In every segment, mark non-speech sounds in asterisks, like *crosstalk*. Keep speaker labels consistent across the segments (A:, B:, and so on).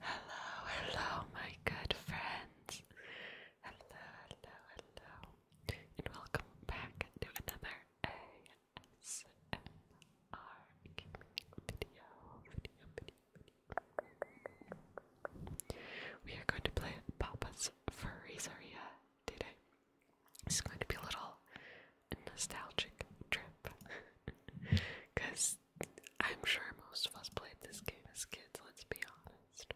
A: Hello, hello, my good friends. Hello, hello, hello, and welcome back to another ASMR video, We are going to play Papa's Freezeria today. It's going to be a little nostalgic trip. Because *laughs* I'm sure most of us played this game as kids, let's be honest.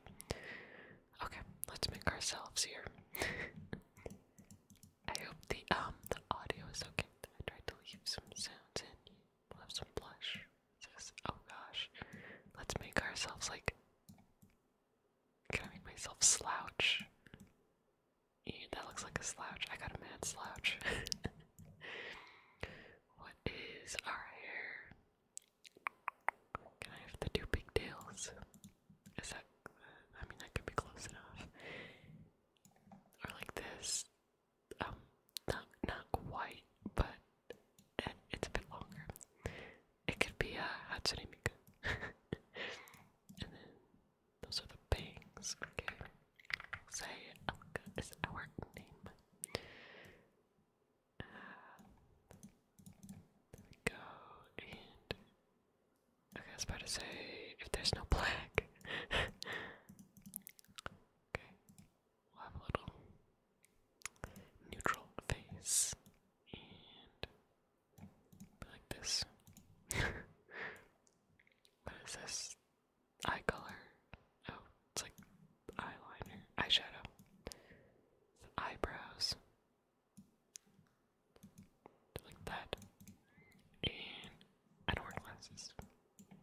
A: Okay, let's make ourselves here. *laughs* I hope the um the audio is okay. I tried to leave some sounds in. We'll have some blush. Just, oh gosh. Let's make ourselves like can I make myself slouch? Yeah, that looks like a slouch. I got a mad slouch. *laughs* what is our hair? Can I have the two pigtails? Is that. I mean, that could be close enough. Or like this. Um, not, not quite, but eh, it's a bit longer. It could be a Hatsune Miku. *laughs* and then those are the bangs. Okay. Say Elka is our name. Uh, there we go. And okay, I was to say if there's no black. *laughs* okay. We'll have a little neutral face. And like this. *laughs* what is this? Eye color. Oh, it's like eyeliner, eyeshadow, eyebrows, like that. And I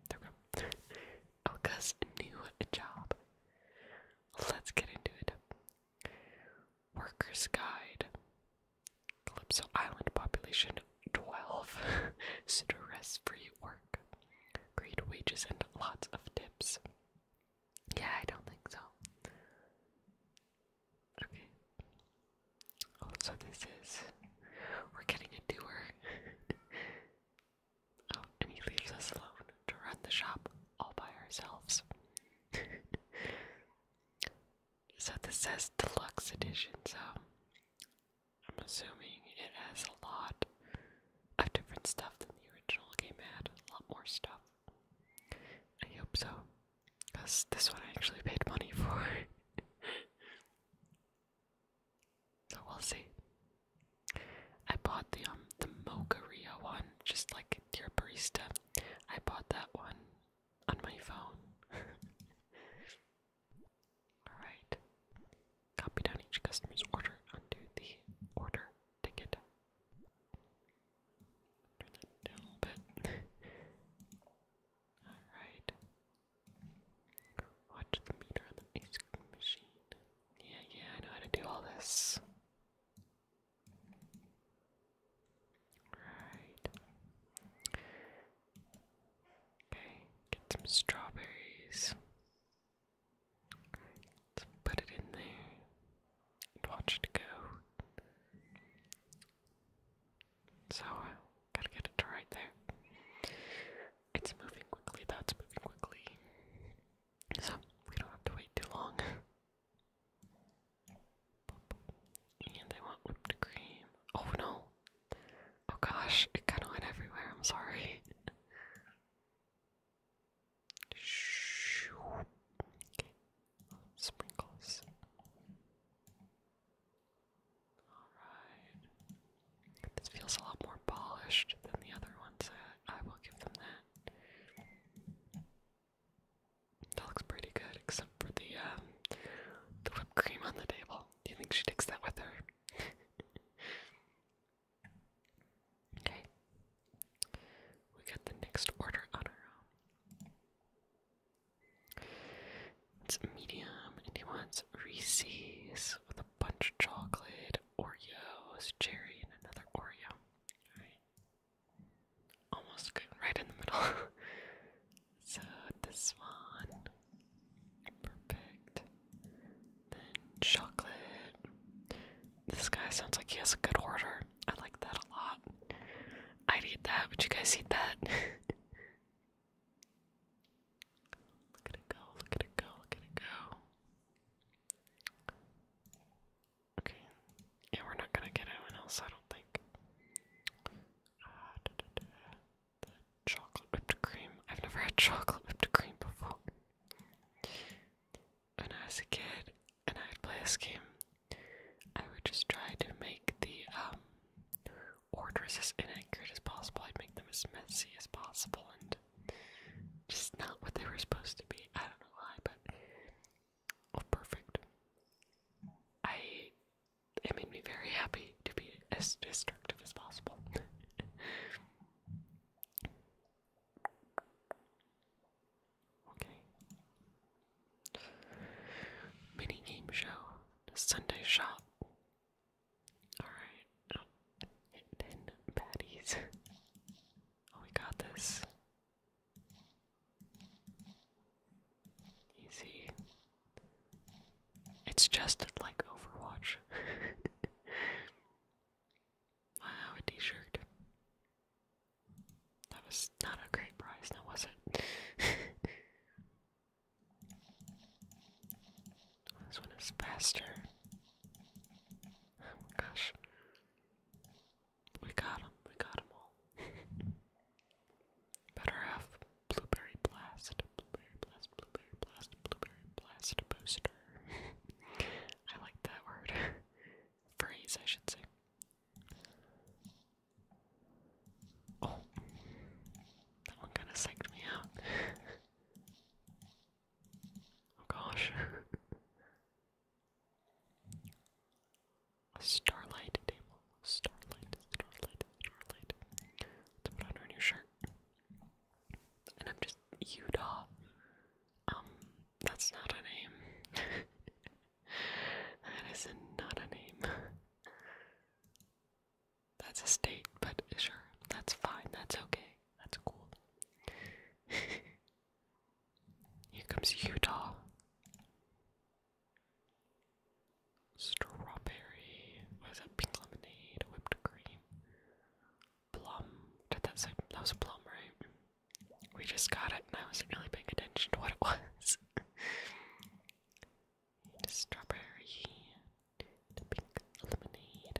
A: There we go. *laughs* Elka's new job. Let's get into it. Workers' Guide. Calypso Island population 12. Stress *laughs* free work. Great wages and lots of tips. Yeah, I don't think so. Okay. Oh, so this is. We're getting a doer. *laughs* Oh, and he leaves us alone to run the shop all by ourselves. *laughs* So this says deluxe edition, so I'm assuming it has a lot of different stuff than the original game had. A lot more stuff. I hope so. Because this one I actually paid money for. *laughs* so we'll see. I bought the um the Mocha one, just like your barista I bought that one on my phone. *laughs* Alright. Copy down each customer's order onto the order ticket. Turn that down a little bit. Alright. Watch the meter on the ice cream machine. Yeah, yeah, I know how to do all this. Right. Okay, get some strawberries. Let's put it in there watch it go. So, uh, gotta get it right there. It's moving quickly, that's moving quickly. So, we don't have to wait too long. *laughs* And I want whipped cream. Oh no! Oh gosh, it kind of went everywhere. I'm sorry. *laughs* Sprinkles. Alright. This feels a lot more polished than the other ones. I will give them that. That looks pretty good, except for the um, the whipped cream on the table. Do you think she takes that with her? *laughs* okay. We got the next order on our own. It's medium, and he wants Reese's with a bunch of chocolate, Oreos, cherry, and another Oreo. Alright almost good, right in the middle. *laughs* so this one, perfect. chocolate. This guy sounds like he has a good order. I like that a lot. I'd eat that. Would you guys eat that? *laughs* look at it go! Look at it go! Look at it go! Okay. Yeah, we're not gonna get anyone else, I don't think. chocolate whipped cream. I've never had chocolate whipped cream before. When I was a kid and I would play a game, I would just try to make the um, orders as inaccurate as possible. I'd make them as messy as possible and just not what they were supposed to be. I don't know why, but Oh, perfect. I it made me very happy to be as destructive as possible. *laughs* okay. Mini game show. Sunday shop. Alright. *laughs* Oh, ten patties. we got this. Easy. It's just like Overwatch. *laughs* wow, a t shirt. That was not a great prize, now was it? *laughs* this one is faster. Oh gosh. We got him. We got him all. *laughs* Better have blueberry blast, blueberry blast, blueberry blast, blueberry blast booster. *laughs* I like that word. *laughs* Phrase, I should say. Oh, that one kind of psyched me out. oh gosh. A starlight table. Starlight, starlight, starlight. To put under a new shirt. And I'm just Yuda. Um, that's not a name. *laughs* that is not a name. That's a state, but sure, that's fine, that's okay, that's cool. *laughs* Here comes Utah. Strawberry. What is that? Pink lemonade, whipped cream. Plum. Did that say that was a plum, right? We just got it and I wasn't really paying attention to what it *laughs* was. strawberry. pink lemonade.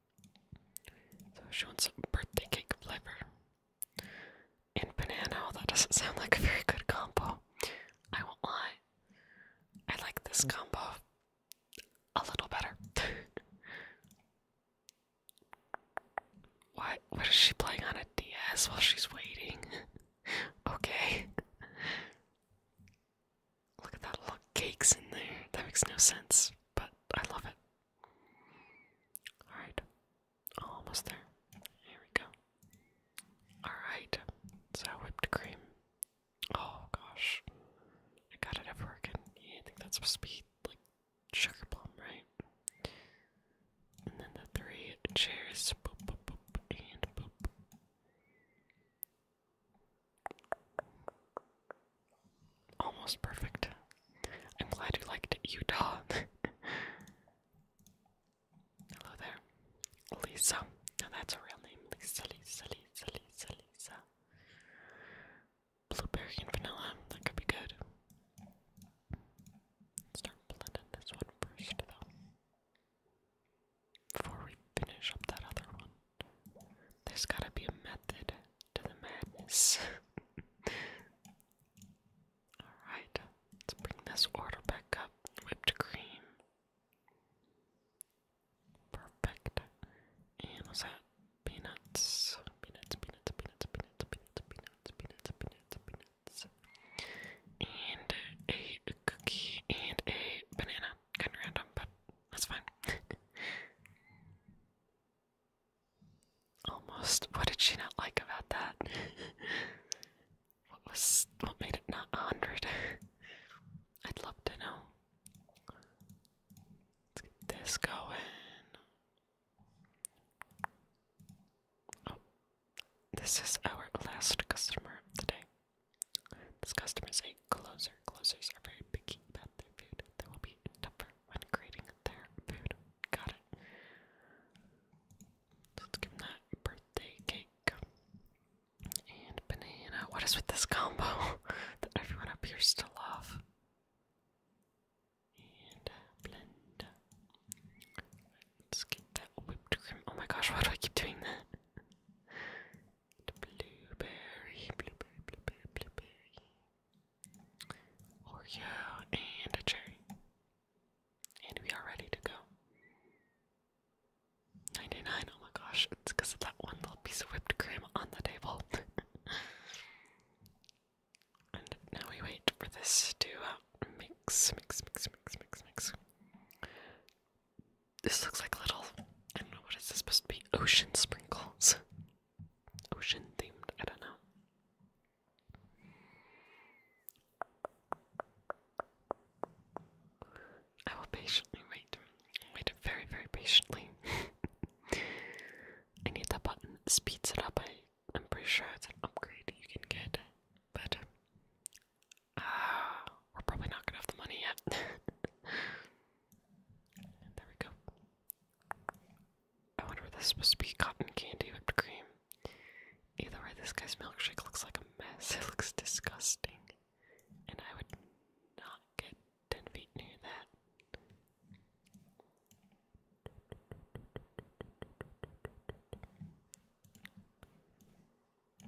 A: So showing some birthday cake flavor. And banana, that doesn't sound like a very good combo. I won't lie. I like this combo a little better. *laughs* what what is she playing on a DS while she's waiting? *laughs* okay. Look at that little cakes in there. That makes no sense, but I love it. Alright. Almost there. Here we go. Alright. So whipped cream. Oh gosh. I got it everywhere again. I think that's supposed to be like sugar plum, right? And then the three chairs. Almost perfect. I'm glad you liked Utah. *laughs* Hello there. Lisa. Now that's a real name. Lisa, Lisa, Lisa, Lisa, Lisa. Blueberry and vanilla. That could be good. Let's start blending this one first, though. Before we finish up that other one. There's gotta be a method to the madness. *laughs* Alright, let's bring this order back up. Whipped cream. Perfect. And what's that? Peanuts. Peanuts, peanuts, peanuts, peanuts, peanuts, peanuts, peanuts, peanuts, And a cookie and a banana. Kinda random, but that's fine. Almost. What did she not like about that? what was what made it not a hundred? I'd love to know. Let's get this going. Oh, this is our last customer of the day. This customer is a closer. Closers are very picky about their food. They will be tougher when creating their food. Got it. Let's give that birthday cake. And banana. What is with this combo *laughs* that everyone appears to love? And blend. Let's get that whipped cream. Oh my gosh, why do I keep doing that? The blueberry, blueberry, blueberry, blueberry. Oreo and a cherry. And we are ready to go. 99, oh my gosh, it's because of that one little piece of whipped cream on the table. *laughs* and now we wait for this to uh, mix, mix, mix, mix, mix, mix. This looks like little, I don't know what is this supposed to be, ocean sprinkles. Ocean themed, I don't know. I will patiently wait. Wait very, very patiently. *laughs* I need the button. speeds it up. I, I'm pretty sure it's an upgrade you can get. But, uh, we're probably not gonna have the money yet. *laughs* And there we go. I wonder if that's supposed to be cotton candy whipped cream. Either way, this guy's milkshake looks like a mess. *laughs* It looks disgusting. And I would not get 10 feet near that.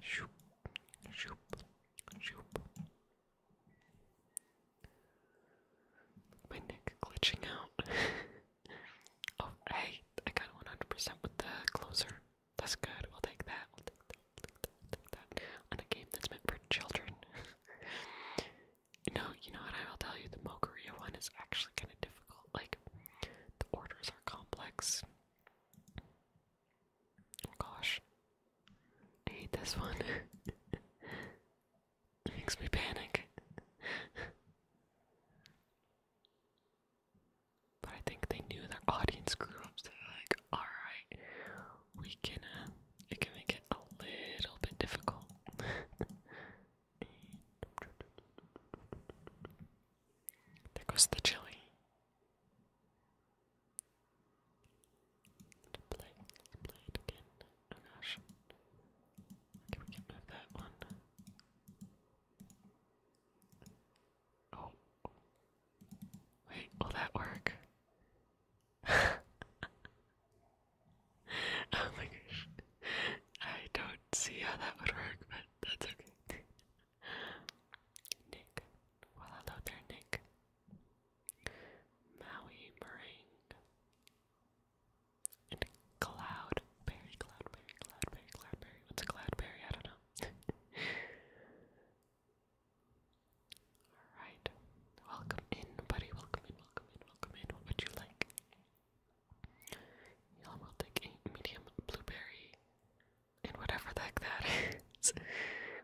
A: Shoop, shoop, shoop, my neck glitching out. *laughs* oh, hey, I got 100% with the closer. That's good. We'll take that. We'll take that. On a game that's meant for children. you *laughs* know, you know what I'll tell you. The Mokaria one is actually kind of difficult. Like, the orders are complex. Oh gosh. I hate this one. *laughs* it makes me panic. but I think they knew their audience groups. They're like, alright, we can, uh, it can make it a little bit difficult. *laughs* there goes the chili play, play it again. Oh gosh. Okay, we can move that one. Oh. Wait, will that work? *laughs* oh my gosh. *laughs* I don't see how that would work, but that's okay. *laughs* Nick. Well, hello there, Nick. Maui meringue. And cloudberry, cloudberry, cloudberry, cloudberry. What's a cloudberry? I don't know. *laughs* Alright. Welcome in, buddy. Welcome in, welcome in, welcome in. What would you like? Y'all will take a medium blueberry and whatever the heck that *laughs* is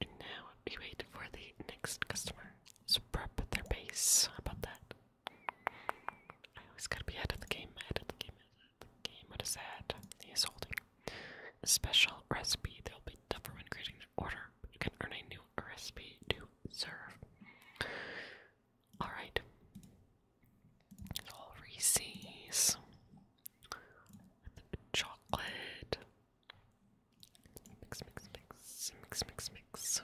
A: And now we wait for the next customer. So prep their base. How about that? I always gotta be ahead of the game, ahead of the game, ahead of the game. What is that? He holding a special recipe that will be tougher when creating the order, you can earn a new recipe to serve. Alright. all Reese's. chocolate. Mix, mix, mix, mix, mix, mix.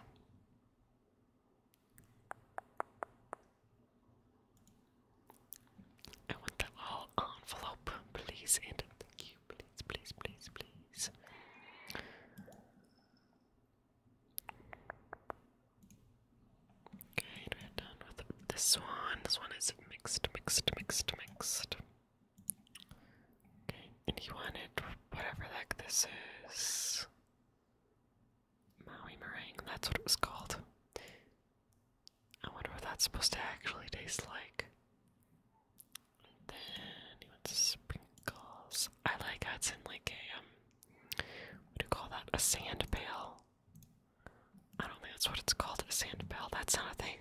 A: I want the whole envelope, please, thank you, please, please, please, please. Okay, we're done with this one. This one is mixed, mixed, mixed, mixed and he wanted whatever the heck this is. Maui meringue, that's what it was called. I wonder what that's supposed to actually taste like. then he wants sprinkles. I like that's in like a um what do you call that? A sand bell? I don't think that's what it's called, a sand pail. That's not a thing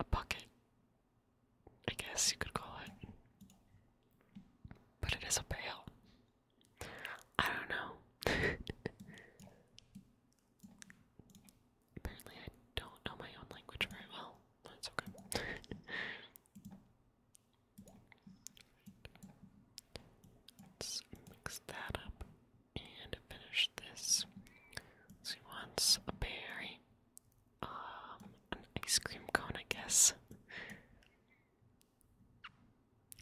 A: a bucket, I guess you could call it. But it is a pail. I don't know. *laughs* Apparently, I don't know my own language very well. That's okay. *laughs* Let's mix that up and finish this. So wants a berry. Um, an ice cream cone, I guess.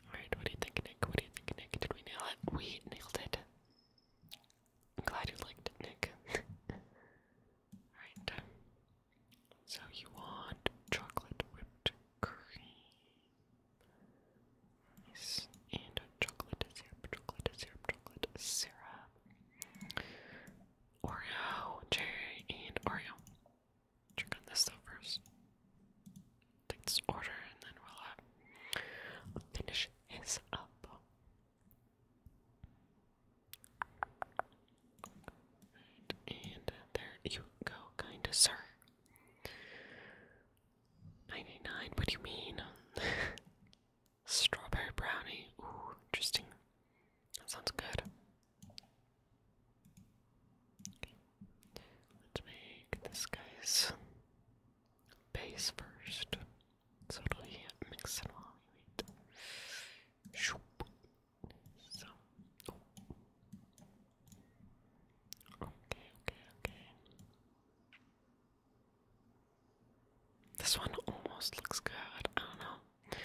A: Alright, what do you think, Nick? What do you think, Nick? Did we nail it? We nailed it. I'm glad you liked it, Nick. *laughs* Alright. Um, so you want chocolate whipped cream. Nice. And a chocolate syrup, chocolate syrup, chocolate syrup. Oreo, Cherry, and Oreo. Check on this though first. Take this order and then we'll uh, finish his up. and there you go, kinda sir. 99, what do you mean? *laughs* Strawberry brownie. Ooh, interesting. That sounds good. Let's make this guy's base first. So mix it all. Wait. Shoop. So. Oh. Okay, okay, okay. This one almost looks good. I don't know.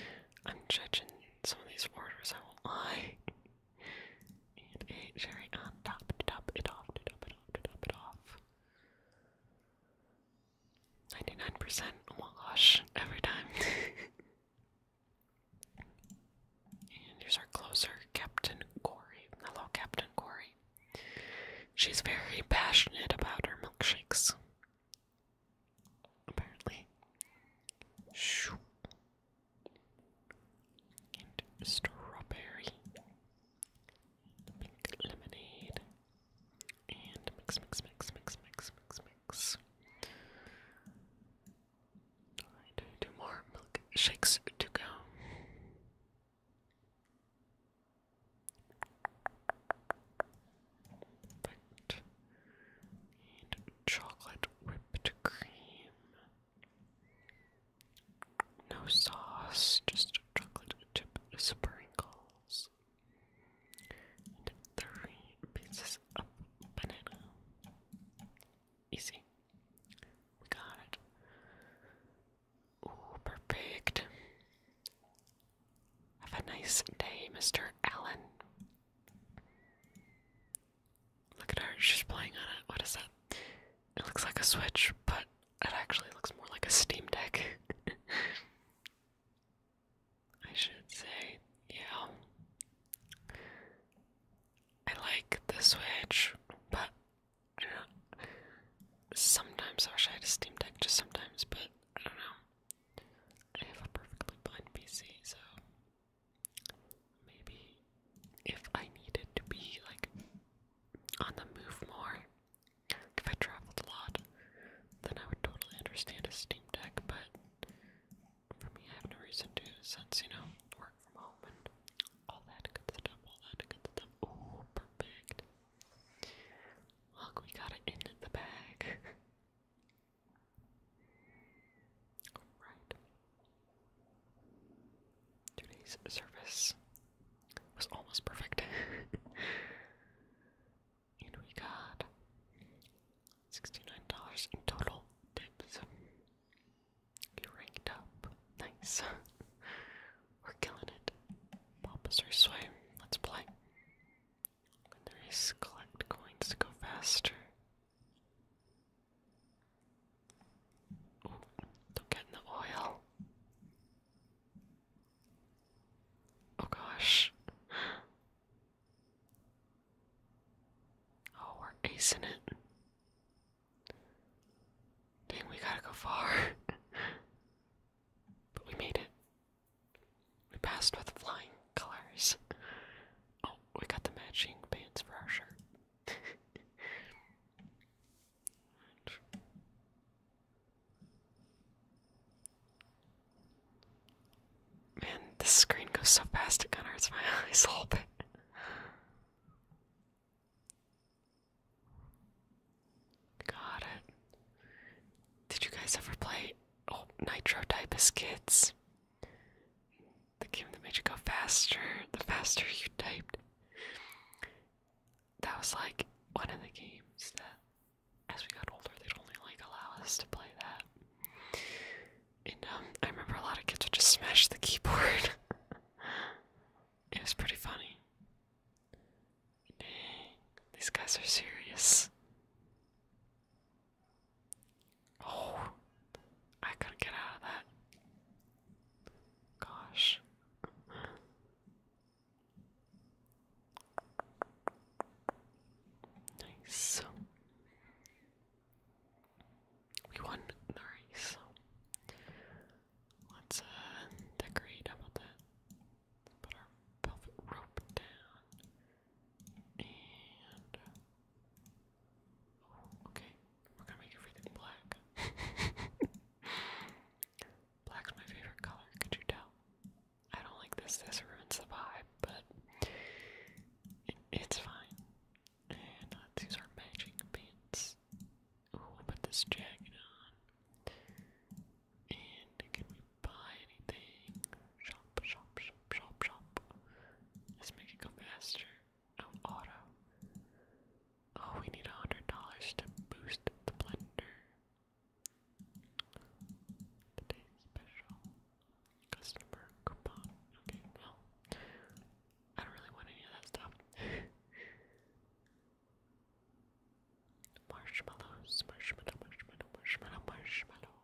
A: I'm judging some of these orders, I will lie. and a cherry on top, top it off, top it off, top it off. 99% wash every time. *laughs* and here's our closer, Captain Corey. Hello, Captain Corey. She's very passionate about her milkshakes. Apparently. And strawberry. Pink lemonade. And mix, mix, mix, mix, mix, mix, mix. Alright, two more milkshakes to go. Perfect. And chocolate whipped cream. No sauce, just chocolate chip sprinkles. And three pieces of banana. Easy. got it perfect. Have a nice day, Mr. Allen. Look at her, she's playing on it. What is that? It looks like a Switch, but it actually looks more like a Steam Deck. *laughs* I should say, yeah. I like the Switch, but Sometimes I wish I had a Steam Deck, just sometimes, but I don't know. I have a perfectly fine PC, so maybe if I needed to be like on the move more, if I traveled a lot, then I would totally understand a Steam Deck, but for me, I have no reason to, since you know, work from home and all that good stuff, all that good stuff. Oh, perfect. Look, we got it in the bag. right. Today's service was almost perfect. *laughs* and we got $69 in total tips. You ranked up. Nice. *laughs* We're killing it. Papa's our sway. Let's play. Nice. Collect coins go faster. don't get in the oil. Oh gosh. *gasps* Oh, we're acing it. Dang, we gotta go far. *laughs* But we made it. We passed with flying colors. Oh, we got the matching pants for our shirt. *laughs* Man, this screen goes so fast it kind of hurts my *laughs* eyes a little bit. Got it. Did you guys ever play oh Nitro type as kids? The game that made you go faster, the faster you typed. That was like one of the games that as we got older they'd only like allow us to play that. And um, I remember a lot of kids would just smash the keyboard. *laughs* it was pretty funny these guys are serious. Oh, I couldn't get out of that. Gosh. Nice. We won. Nice. Let's uh, decorate. about that? Put our velvet rope down. Oh, okay. We're gonna make everything black. *laughs* Black's my favorite color, could you tell? I don't like this, this ruins the vibe, but it's fine. let's use our matching pants. Ooh, we'll put this jacket on. And can we buy anything? Shop, shop, shop, shop, shop. Let's make it go faster. Oh, auto. Oh, we need $100 to boost the blender. Today's special customer coupon. Okay, well, I don't really want any of that stuff. *laughs* Marshmallows, marshmallow, marshmallow, marshmallow, marshmallow.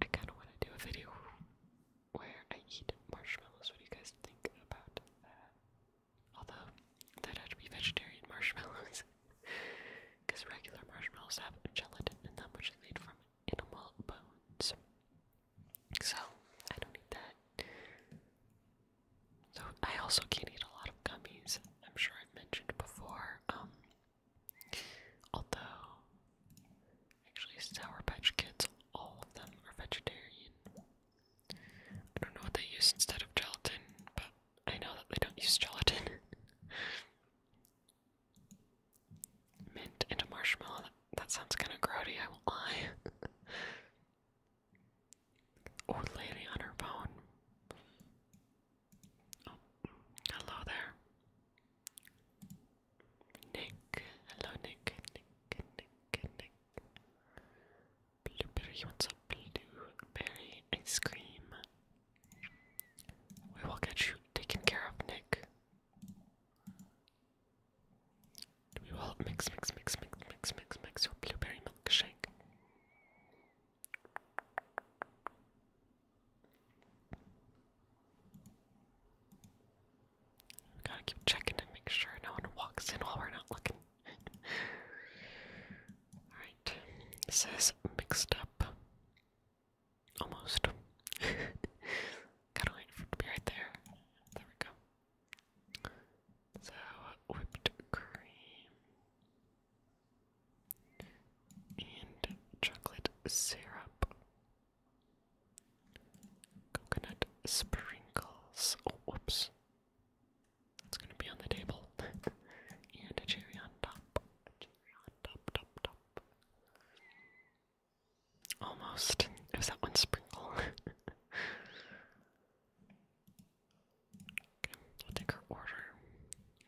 A: I kind of want to do a video where I eat marshmallows. What do you guys think about that? Although, that had to be vegetarian marshmallows. Because *laughs* regular marshmallows have gelatin in them, which is made from animal bones. So, I don't need that. So I also can't eat a lot of gummies. I'm sure I've mentioned before. Um, although, actually, Sour Patch Kids, all of them are vegetarian. I don't know what they use instead of gelatin, but I know that they don't use gelatin. *laughs* Mint and a marshmallow. That, that sounds kind of grody. I won't lie. *laughs* Old lady on her phone. Oh, hello there. Nick, hello Nick, Nick, Nick, Nick. Blueberry wants blueberry ice cream. We will get you taken care of, Nick. We will mix, mix, mix, mix, mix, mix, mix your blueberry milkshake gotta keep checking to make sure no one walks in while we're not looking. Alright, this is mixed up. Almost. *laughs* Gotta wait for it to be right there. There we go. So, whipped cream and chocolate syrup, coconut sprinkles. Oh, whoops. It's gonna be on the table. *laughs* and a cherry on top. cherry on top, top, top. Almost. was that one sprinkle. *laughs* Okay, I'll take her order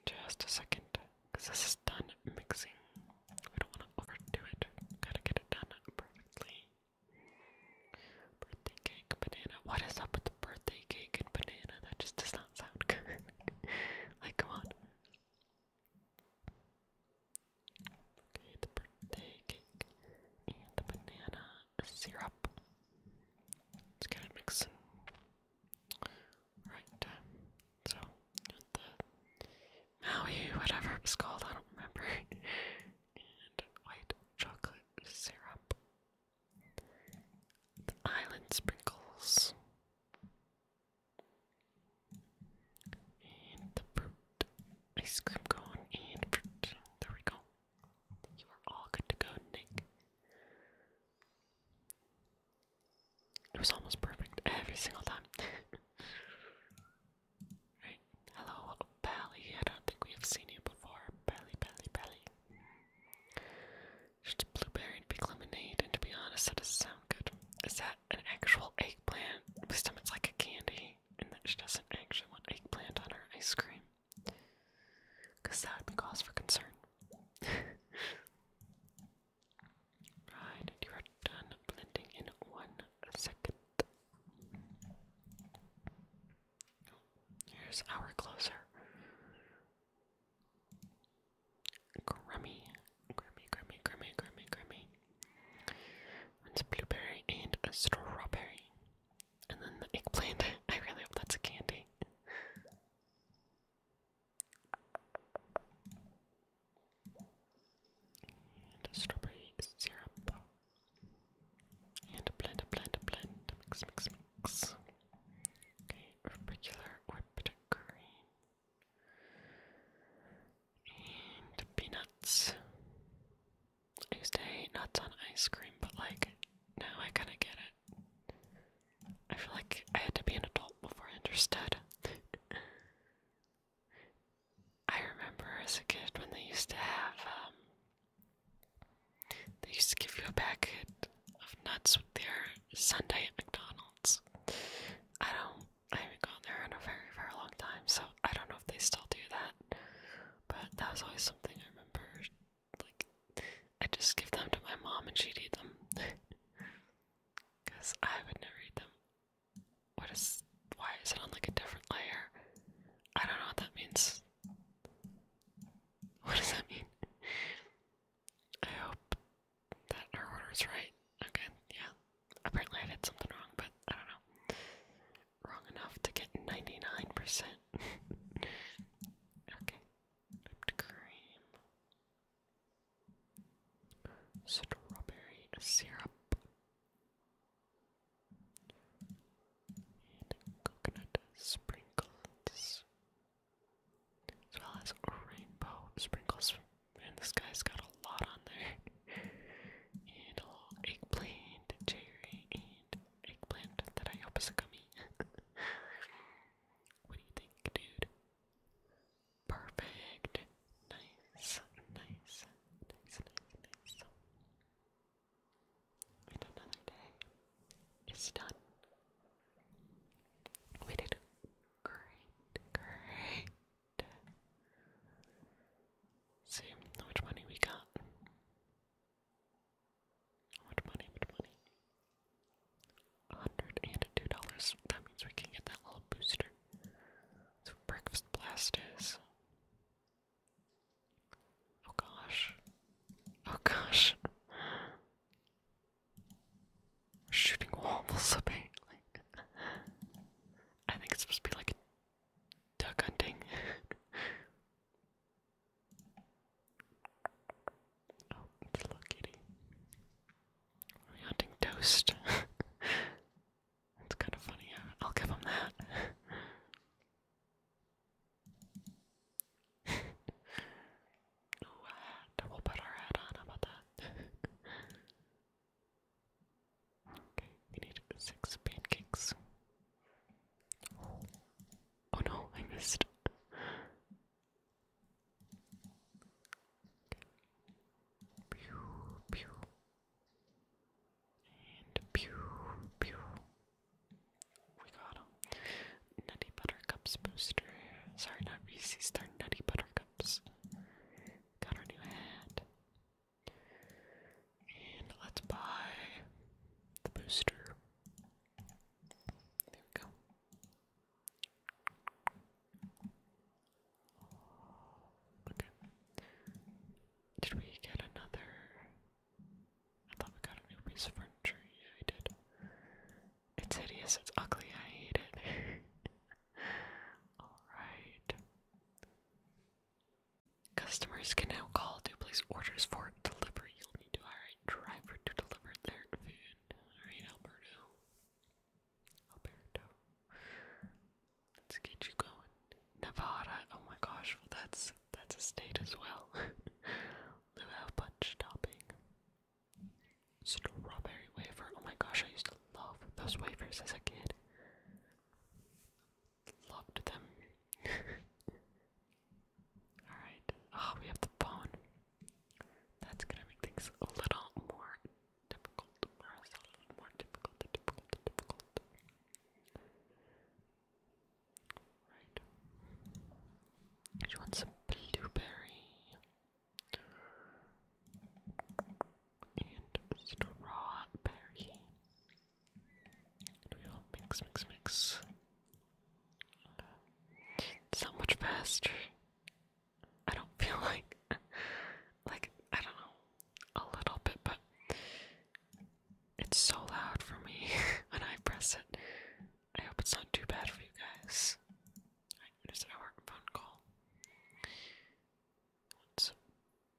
A: just a second because this is done mixing. We don't want to overdo it. Gotta get it done perfectly. Birthday cake, banana. What is up with the birthday cake and banana? That just does not sound *laughs* good. like, come on. the birthday cake and the banana syrup. Let's get it mixing. Right, uh, so, the Maui, whatever it's called, I don't remember. *laughs* and white chocolate syrup. The island sprinkles. And the fruit. Ice cream cone and fruit. There we go. You are all good to go, Nick. It was almost perfect every single time. *laughs* right. Hello, Pally. I don't think we have seen you before. Pally, Pally, Pally. Just blueberry and big lemonade, and to be honest, that does sound good. Is that an actual eggplant? My stomach's like a candy, and that she doesn't actually want eggplant on her ice cream. Because that would be cause for concern. *laughs* right, you are done blending in one second. Here's our closer. Grummy, grummy, grummy, grummy, grummy, grummy. It's blueberry and a strawberry. And then the eggplant. *laughs* I really hope that's a candy. And a strawberry syrup. And a blend, a blend, Mix, mix, mix. Okay, regular whipped cream. And peanuts. I used to hate nuts on ice cream, but like now I kinda get it. I feel like I had to be an adult before I understood. I remember as a kid when they used to have um they used to give you a packet of nuts with their Sunday at McDonald's. I don't I haven't gone there in a very, very long time, so I don't know if they still do that. But that was always something I remember like I just give them to my mom and she'd eat them. *laughs* Cause I would never eat them. What is why is it on like a different layer? I don't know what that means. *laughs* What does that mean? I hope that our order's right. Okay, yeah. Apparently I did something wrong, but I don't know wrong enough to get 99%. okay. Whipped cream. Strawberry syrup. And coconut sprinkles. As well as rainbow sprinkles. Man, this guy's got a lot on there. and a eggplant, cherry, and eggplant that I hope is a gummy. *laughs* what do you think, dude? Perfect. Nice, nice, nice, nice, nice. another day is done. We did great, great. See which money we got. What money? What money? $102. That means we can get that little booster. So breakfast blast is. Oh gosh. Oh gosh. Shooting walls apparently. *laughs* I think it's supposed to be like duck hunting. *laughs* Oh, it's a little kitty. Are we toast? That's *laughs* kind of funny. I'll give him that. *laughs* Ooh, a on. How about that? *laughs* okay, we need six pancakes. Oh no, I missed. Pew, pew. And pew, pew. We got them. Nutty Buttercups booster. Sorry, not Reese's, they Nutty Buttercups. Got our new hat. And let's buy the booster. There we go. Okay. Did we get another? I thought we got a new piece of furniture. Yeah, we did. It's hideous. It's ugly. I hate it. *laughs* All right. Customers can now call to place orders for delivery. You'll need to hire a driver to deliver their food. Alright, Alberto. Alberto. Let's get you going. Nevada. Oh my gosh, that's that's a state as well. *laughs* Luau punch topping. Strawberry wafer. Oh my gosh, I used to love those wafers as a kid loved them. *laughs* Alright. Oh, we have the phone. That's gonna make things a little more difficult for us. A little more difficult, difficult, difficult. Right. She wants some blueberry and strawberry we all mix, mix, mix? So much faster. I don't *laughs* feel like, like I don't know, a little bit, but it's so loud for me *laughs* when I press it. I hope it's not too bad for you guys. Alright, there's our phone call. let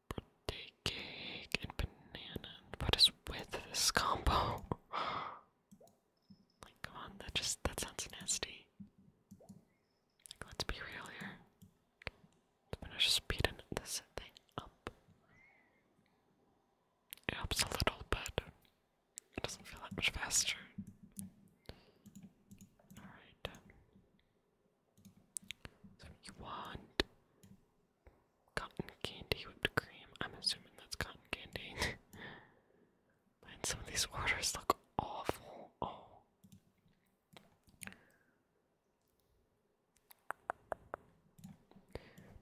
A: birthday cake and banana. What is with this combo? *gasps* like, come on, that just that sounds nasty. Like, let's be real here. I'm going speeding this thing up. It helps a little, but it doesn't feel that much faster. Alright. So you want Cotton candy whipped cream. I'm assuming that's cotton candy. *laughs* And some of these waters look awful. Oh.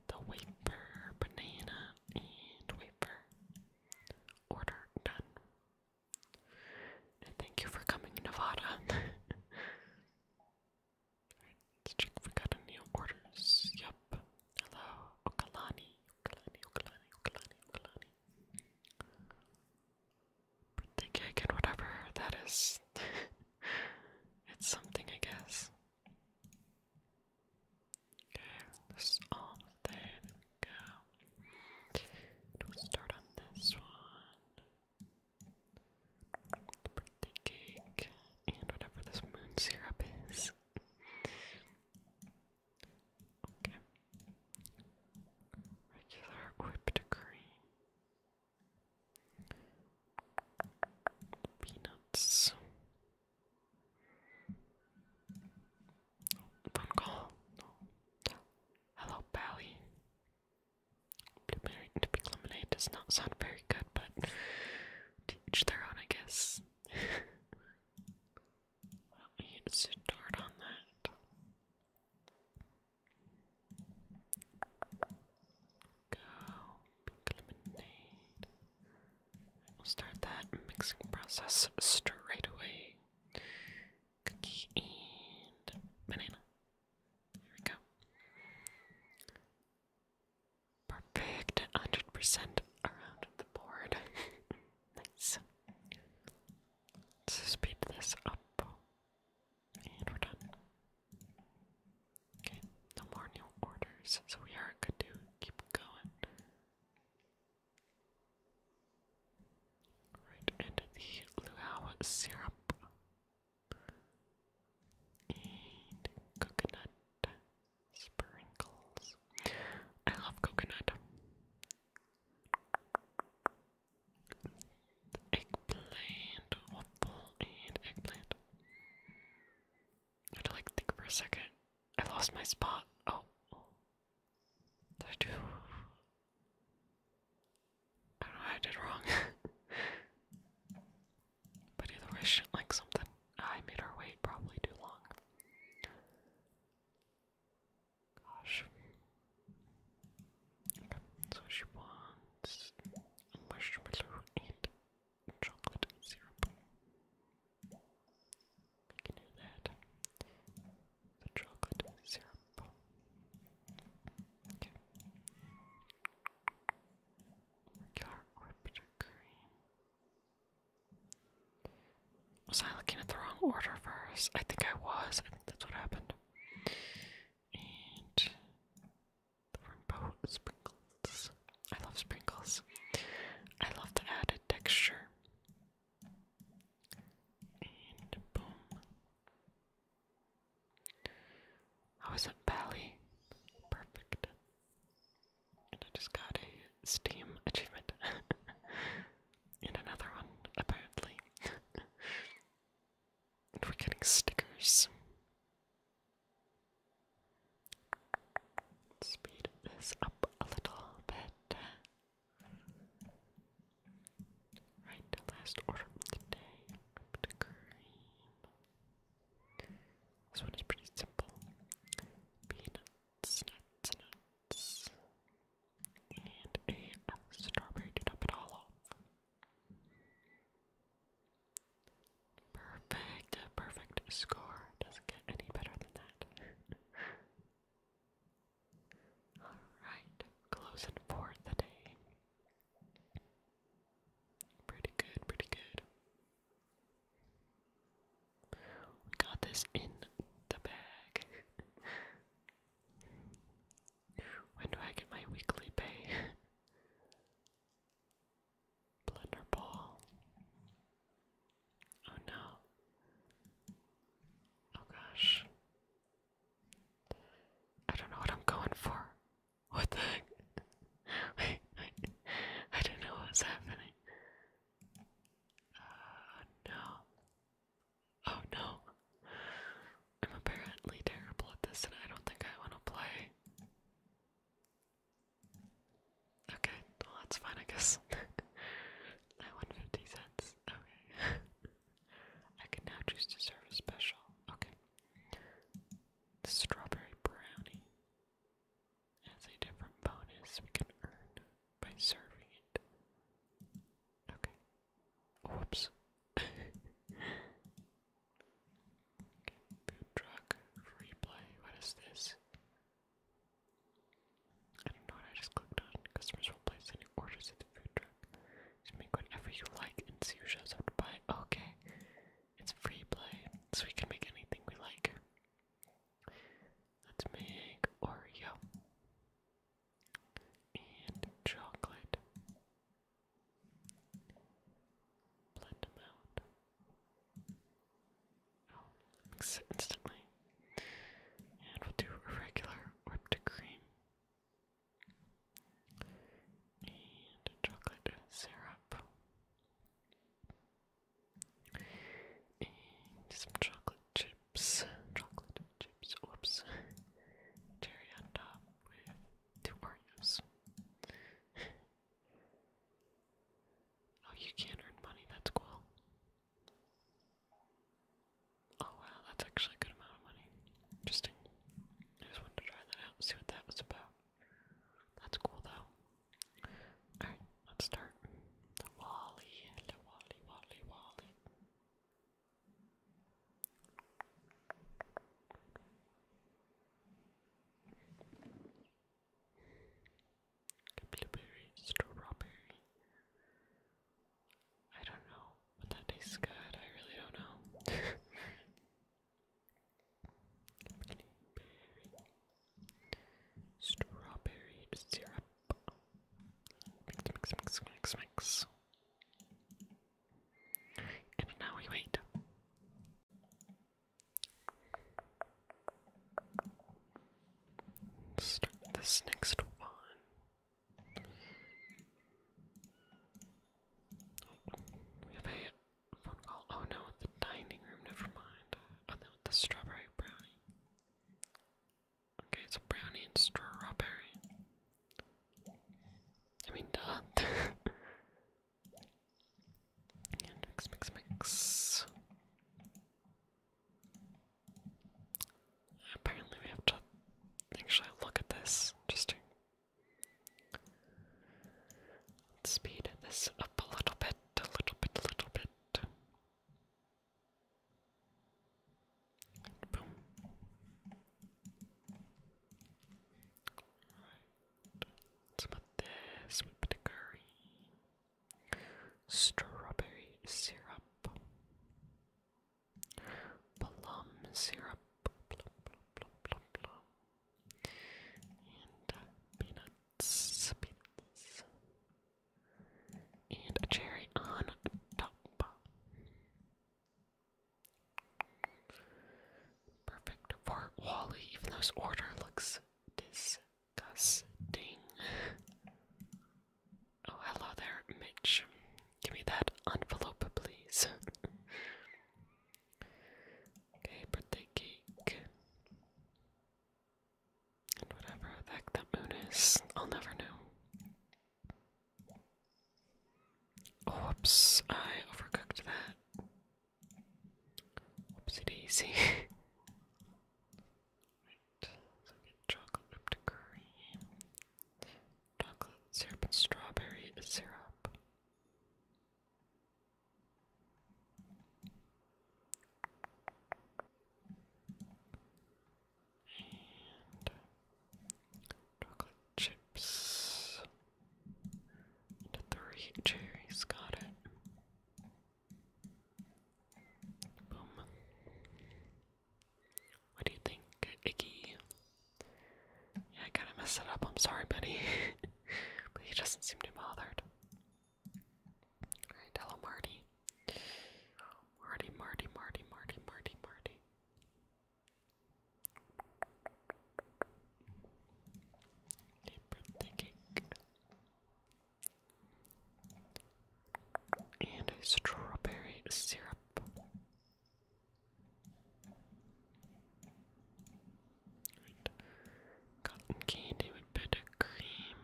A: The wafer, banana, and wafer. Order done. thank you for coming, Nevada. *laughs* Alright, let's check if we got any orders. Yep. Hello, Okalani. Okalani, Okalani, Okalani, Okalani. Birthday cake and whatever that is. *laughs* it's something, I guess. Okay, this arm thing. Go. we start on this one birthday cake, and whatever this moon syrup is. okay. Regular whipped cream. Peanuts. phone call. Hello, Pally. Blueberry and pink lemonade does not sound very good, but teach their own, I guess. well, I need to sit on that. Go, lemonade. We'll start that mixing process straight away. Cookie and banana. There we go. Perfect. 100% around the board. *laughs* nice. let speed this up. And we're done. Okay, no more new orders, so we are good to keep going. Right into the luau syrup and coconut sprinkles. I love coconut. Eggplant, waffle, and eggplant. I had to like think for a second. I lost my spot. Oh. Did I do? I don't know I did wrong. *laughs* But either way, she did like something. I made her wait probably too long. Gosh. so she wants marshmallow and chocolate syrup. We can do that. The chocolate syrup. Okay. Was I looking at the wrong order first? I think I was. I think that's what happened. And rainbow sprinkles. I love sprinkles. I love the added texture. And boom. How is it, at Perfect. I just got a Steam achievement. *laughs* and another one, apparently. *laughs* and we're getting stickers. Speed this up a little bit. Right, last order of the day. Up green. This one is pretty simple. Peanuts, nuts, and a strawberry to top it all off. Perfect, perfect score. Doesn't get any better than that. *laughs* Alright, closing for the day. Pretty good, pretty good. We got this in the bag. *laughs* when do I get my weekly pay? *laughs* Blender ball. Oh no. Oh gosh. I don't know what I'm going for. What the heck? Wait, wait. I don't know what's happening. Uh, no. Oh no. I'm apparently terrible at this and I don't think I want to play. Okay, well that's fine I guess. I *laughs* won 50 cents. Okay. *laughs* I can now choose to serve a special. Okay strawberry brownie as a different bonus we can earn by serving it. Okay. Whoops. *laughs* food truck, free what is this? I don't I just clicked on. Customers will place any orders at the food truck. Just make whatever you like and see who shows up to buy. Okay. It's free play, so we can make anything we like. Let's make Oreo and chocolate. Blend them out. Oh, mix it instantly. And we'll do a regular whipped cream and chocolate syrup, and some chocolate chips, chocolate chips, whoops, cherry on top with two Oreos. oh, you can earn money, that's cool. Oh wow, that's actually a good amount of money. Interesting. I just wanted to try that out, see what that was about. That's cool though. Alright, let's start. The Wally, the Wally, Wally, Wally. Blueberry, strawberry. I don't know, but that tastes good. I really don't know. *laughs* Strawberry syrup. Mix, mix, mix, mix, mix. And now we wait. Start this next one. Oh, we have Oh no, the dining room. Never mind. Oh, the strawberry brownie. Okay, it's a brownie and strawberry. I mean, duh. *laughs* mix, mix, mix. Apparently, we have to actually look at this just to Let's speed this up a little bit, a little bit, a little bit. And boom. Alright. Let's put this with the curry. Strawberry syrup. Plum syrup. Plum, plum, plum, plum, plum and uh, peanuts, peanuts, and a cherry on top. Perfect for Wally, even though his order looks disgusting. Oh, hello there, Mitch. Give me that envelope, please. Okay, birthday cake. And whatever the heck that moon is, I'll never know. whoops, I overcooked that. Whoopsie daisy. *laughs* right, so get chocolate whipped cream, chocolate syrup, and strawberry syrup chocolate chips. three cherries, got it. Boom. What do you think, Iggy? Yeah, I kind of messed it up. I'm sorry, buddy. *laughs* but he doesn't seem too bothered. Alright, hello, Marty. Marty, Marty, Marty, Marty, Marty, Marty. And a strawberry syrup. Cotton candy with buttercream.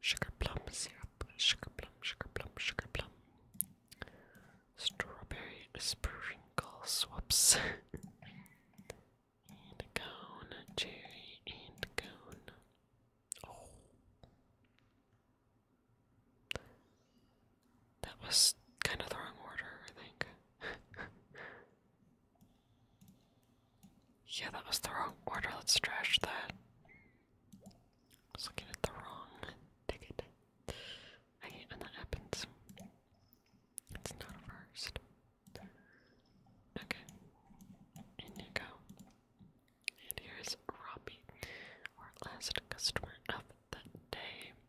A: Sugar plum syrup. Sugar plum, sugar plum, sugar plum. Strawberry sprinkle swaps. *laughs* and a cone. Cherry and cone. Oh. That was kind of the wrong order, I think. *laughs* yeah, that was the wrong order. Let's trash that. was looking at the wrong ticket. I hate that happens. It's not a first. Okay. In you go. And here's Robbie, our last customer of the day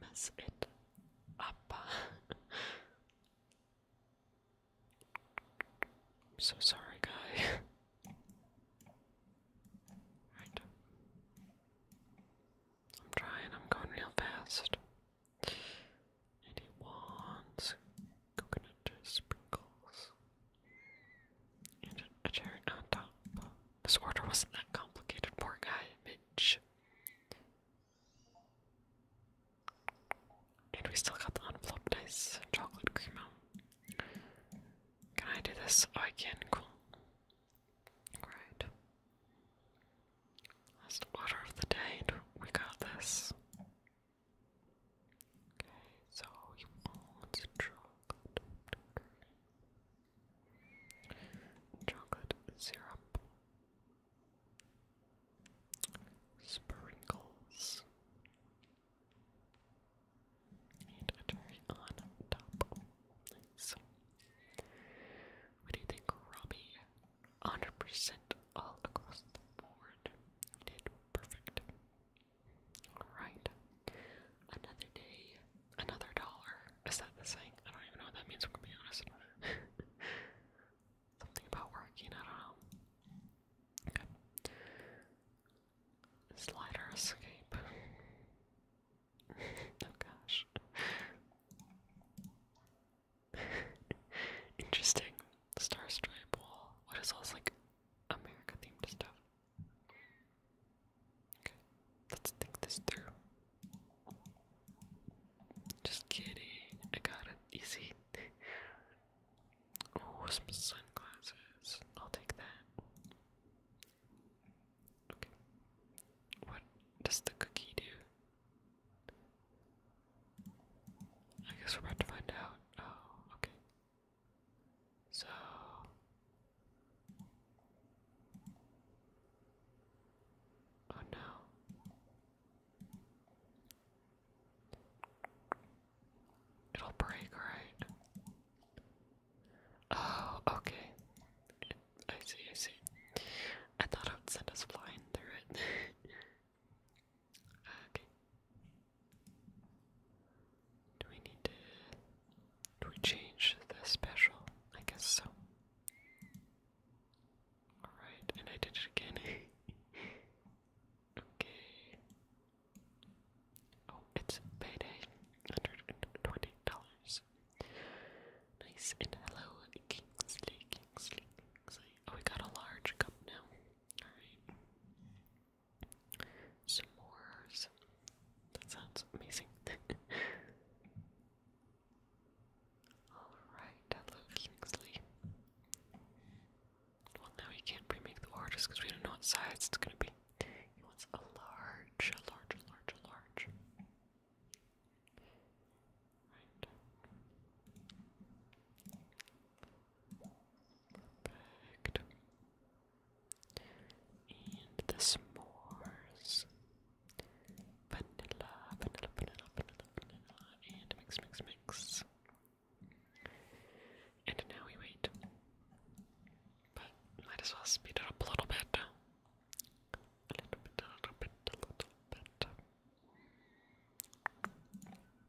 A: mess it up. I'm so sorry, guy. right. I'm trying, I'm going real fast. And wants coconut sprinkles and a cherry on top. This order wasn't that complicated, poor guy, bitch. And we still got the unflopped chocolate cream Can I do this? Oh, cool. Alright. Last order of the day, we got this. Okay, so you want chocolate. Chocolate syrup. Sprinkles. And a cherry on top. Nice. What do you think, Robbie? 100% all across the board. did perfect. Alright. Another day, Another dollar. Is that the same? I don't even know what that means, I'm gonna be honest. *laughs* Something about working, I don't know. Okay. escape. *laughs* oh gosh. *laughs* Interesting. Star Stripe Wall. What is all this like America themed stuff? Okay, let's think this through. Just kidding, I got it easy. *laughs* oh, some sunglasses. I'll take that. Okay. What does the cookie do? I guess we're about to find out. Oh, okay. So, Oh no. It'll break, right? Oh, okay. I see, I see. I thought it would send us flying through it. *laughs* okay. Do we need to do we change the special? I guess so. Alright, and I did it again. *laughs* okay. Oh, it's payday. $120. Nice, and hello, Kingsley, Kingsley, Oh, we got a large cup now. S'mores. That sounds amazing. *laughs* Alright, hello Kingsley. Well, now he can't pre the orders because we don't know what size it's gonna be. He wants a large, a large, a large, a large. Right. Perfect. And the s'mores. Vanilla, vanilla, vanilla, vanilla, vanilla, and mix, mix, mix. And now we wait. But might as well speed it up a little bit. A little bit, a little bit, a little bit.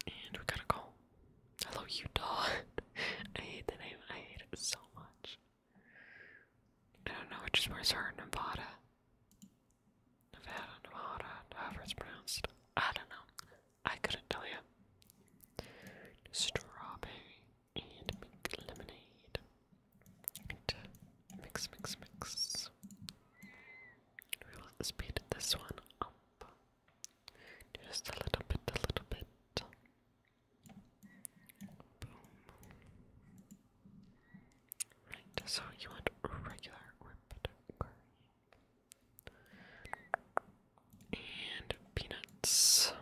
A: And we gotta go. Hello, Utah. *laughs* I hate the name. I hate it so much. I don't know which is worse, or Nevada. Nevada, Nevada, however it's pronounced. I don't know. I couldn't tell you. Strawberry and mixed lemonade. And mix, mix, mix. We will speed this one up. Just a little bit, a little bit. Right, so you want regular And peanuts.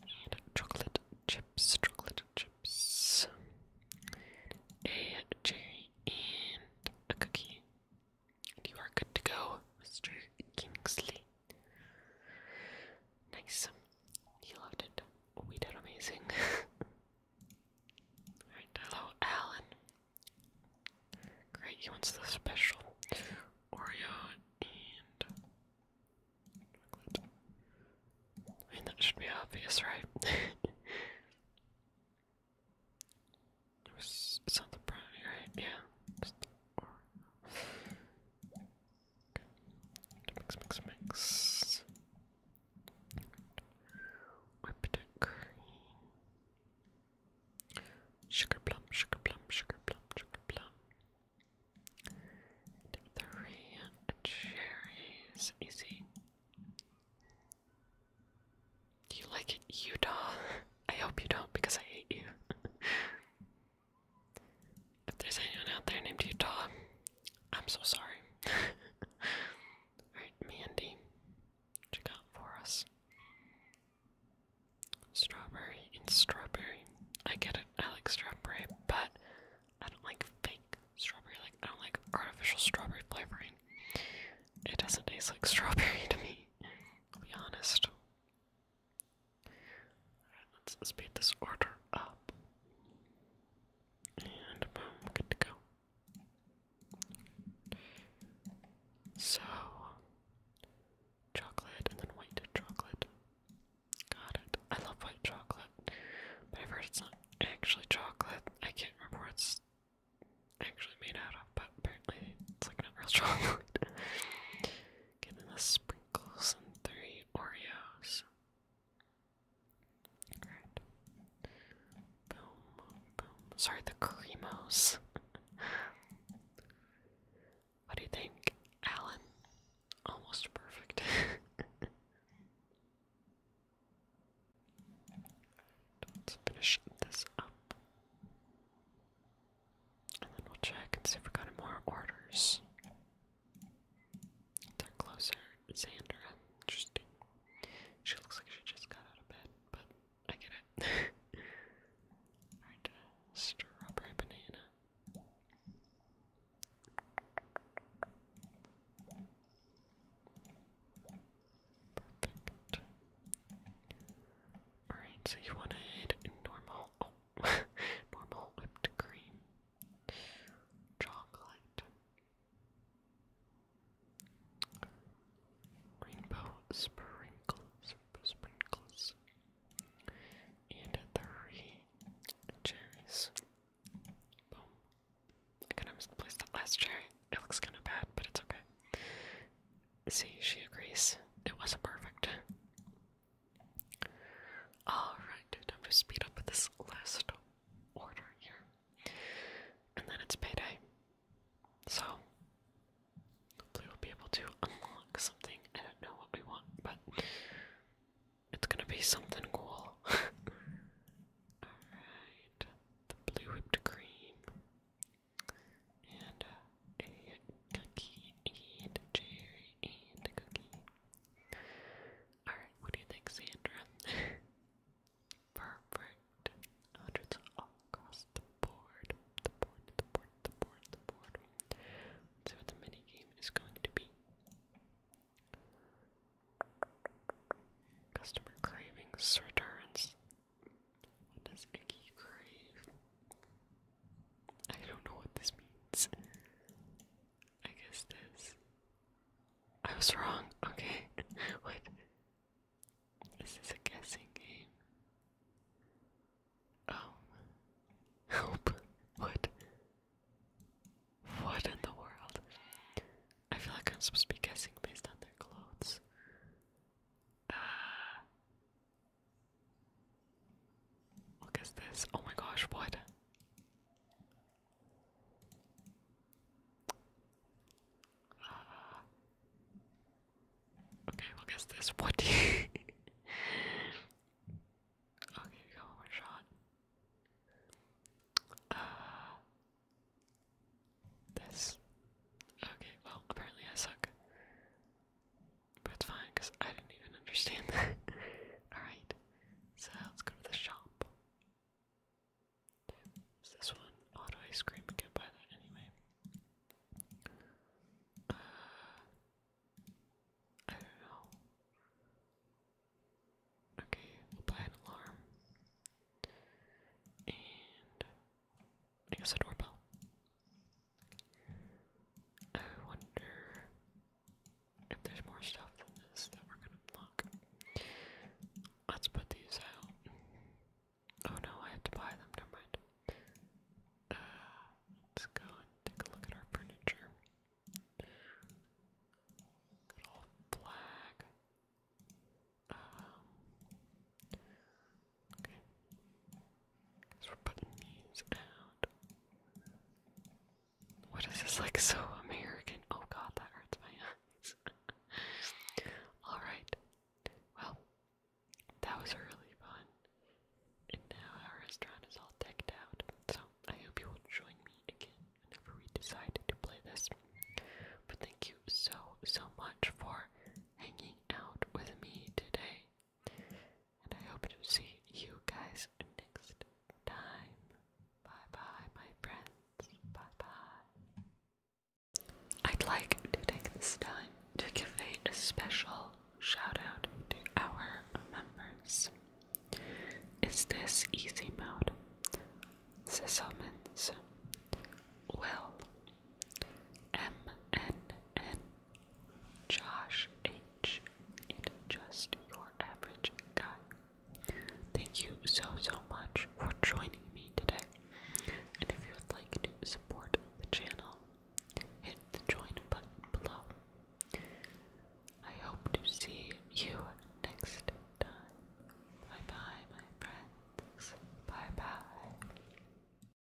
A: And chocolate chips, chocolate chips. A cherry and a cookie. And you are good to go, Mr. Kingsley. Nice. He loved it. We did amazing. *laughs* Alright, hello, Alan. Great, he wants the special Oreo and chocolate. I mean, that should be obvious, right? *laughs* it was, it's not right? Yeah or okay. mix, mix, mix. Whip it green. Sugar plum, sugar plum, sugar plum, sugar plum. Take three cherries, easy. Do you like it, Utah? *laughs* I hope you don't because I hate you. *laughs* If there's anyone out there named Utah, I'm so sorry. *laughs* Alright, Mandy, what you for us? Strawberry and strawberry. I get it, I like strawberry, but I don't like fake strawberry. Like I don't like artificial strawberry flavoring. It doesn't taste like strawberry *laughs* to me, be honest let's speed this order up. And boom, good to go. So, chocolate and then white chocolate. Got it. I love white chocolate. But I've heard it's not actually chocolate. I can't remember what it's actually made out of, but apparently it's like not real *laughs* chocolate giving us sprinkles and three Oreos. Alright. Sorry, the creamos. *laughs* what do you think, Alan? Almost perfect. *laughs* Let's finish this up. And then we'll check and see if we got any more orders. They're closer. Xandra. Interesting. She looks like she just got out of bed, but I get it. *laughs* Alright, uh, strawberry banana. Perfect. Alright, so you want to head normal. Oh, *laughs* Normal whipped cream. Chocolate. Rainbow sprinkles. Sprinkles. And three cherries. Boom. I misplaced that last cherry. It looks kind of bad, but it's okay. See, she agrees. It wasn't perfect. Alright, time to speed up this last order here. And then it's payday. So, hopefully, we'll be able to unlock something. I know what we want, but it's gonna be something cool. *laughs* Alright, the blue whipped cream and uh, a cookie and a cherry and cookie. Alright, what do you think, Sandra? *laughs* Perfect. Hundreds all across the board. The board, the board, the board, the board. see what the mini game is going to be. Customer cravings returns. What does Nikki crave? I don't know what this means. I guess this. I was wrong. Okay. *laughs* what? This is a guessing game. Um. Oh. Help. What? What in the world? I feel like I'm supposed to be guessing based on their clothes. Uh, what is this? Oh my gosh, what? Uh, okay, *laughs* what is this? What okay, we got one more shot. Uh, this. Okay, well, apparently I suck. But it's fine because I do not even understand that. *laughs* Alright, so let's go to the shop. this one auto ice cream? I can't anyway. Uh, I don't know. Okay, we'll buy an alarm. And I guess a doorbell. I wonder if there's more stuff than this that we're gonna unlock. Let's put these out. Oh no, I have to buy them, never mind. Uh, let's go and take a look at our furniture. Good old flag. Um, we're putting these out. What is this like so American? Oh god, that hurts my eyes. *laughs* Alright. Well, that was really fun. And now our restaurant is all decked out. So I hope you will join me again whenever we decide to play this. But thank you so, so much for hanging out with me today. And I hope to see you guys next time. Bye bye, my friends. Bye bye. I'd like to take this time to give a special shout out to our members. Is this easy mode? Sesomens Will M N N Josh H. And just your average guy. Thank you so so much for joining me today. And if you would like to support the channel, hit the join button below. I hope to see you next time. Bye bye, my friends. Bye bye.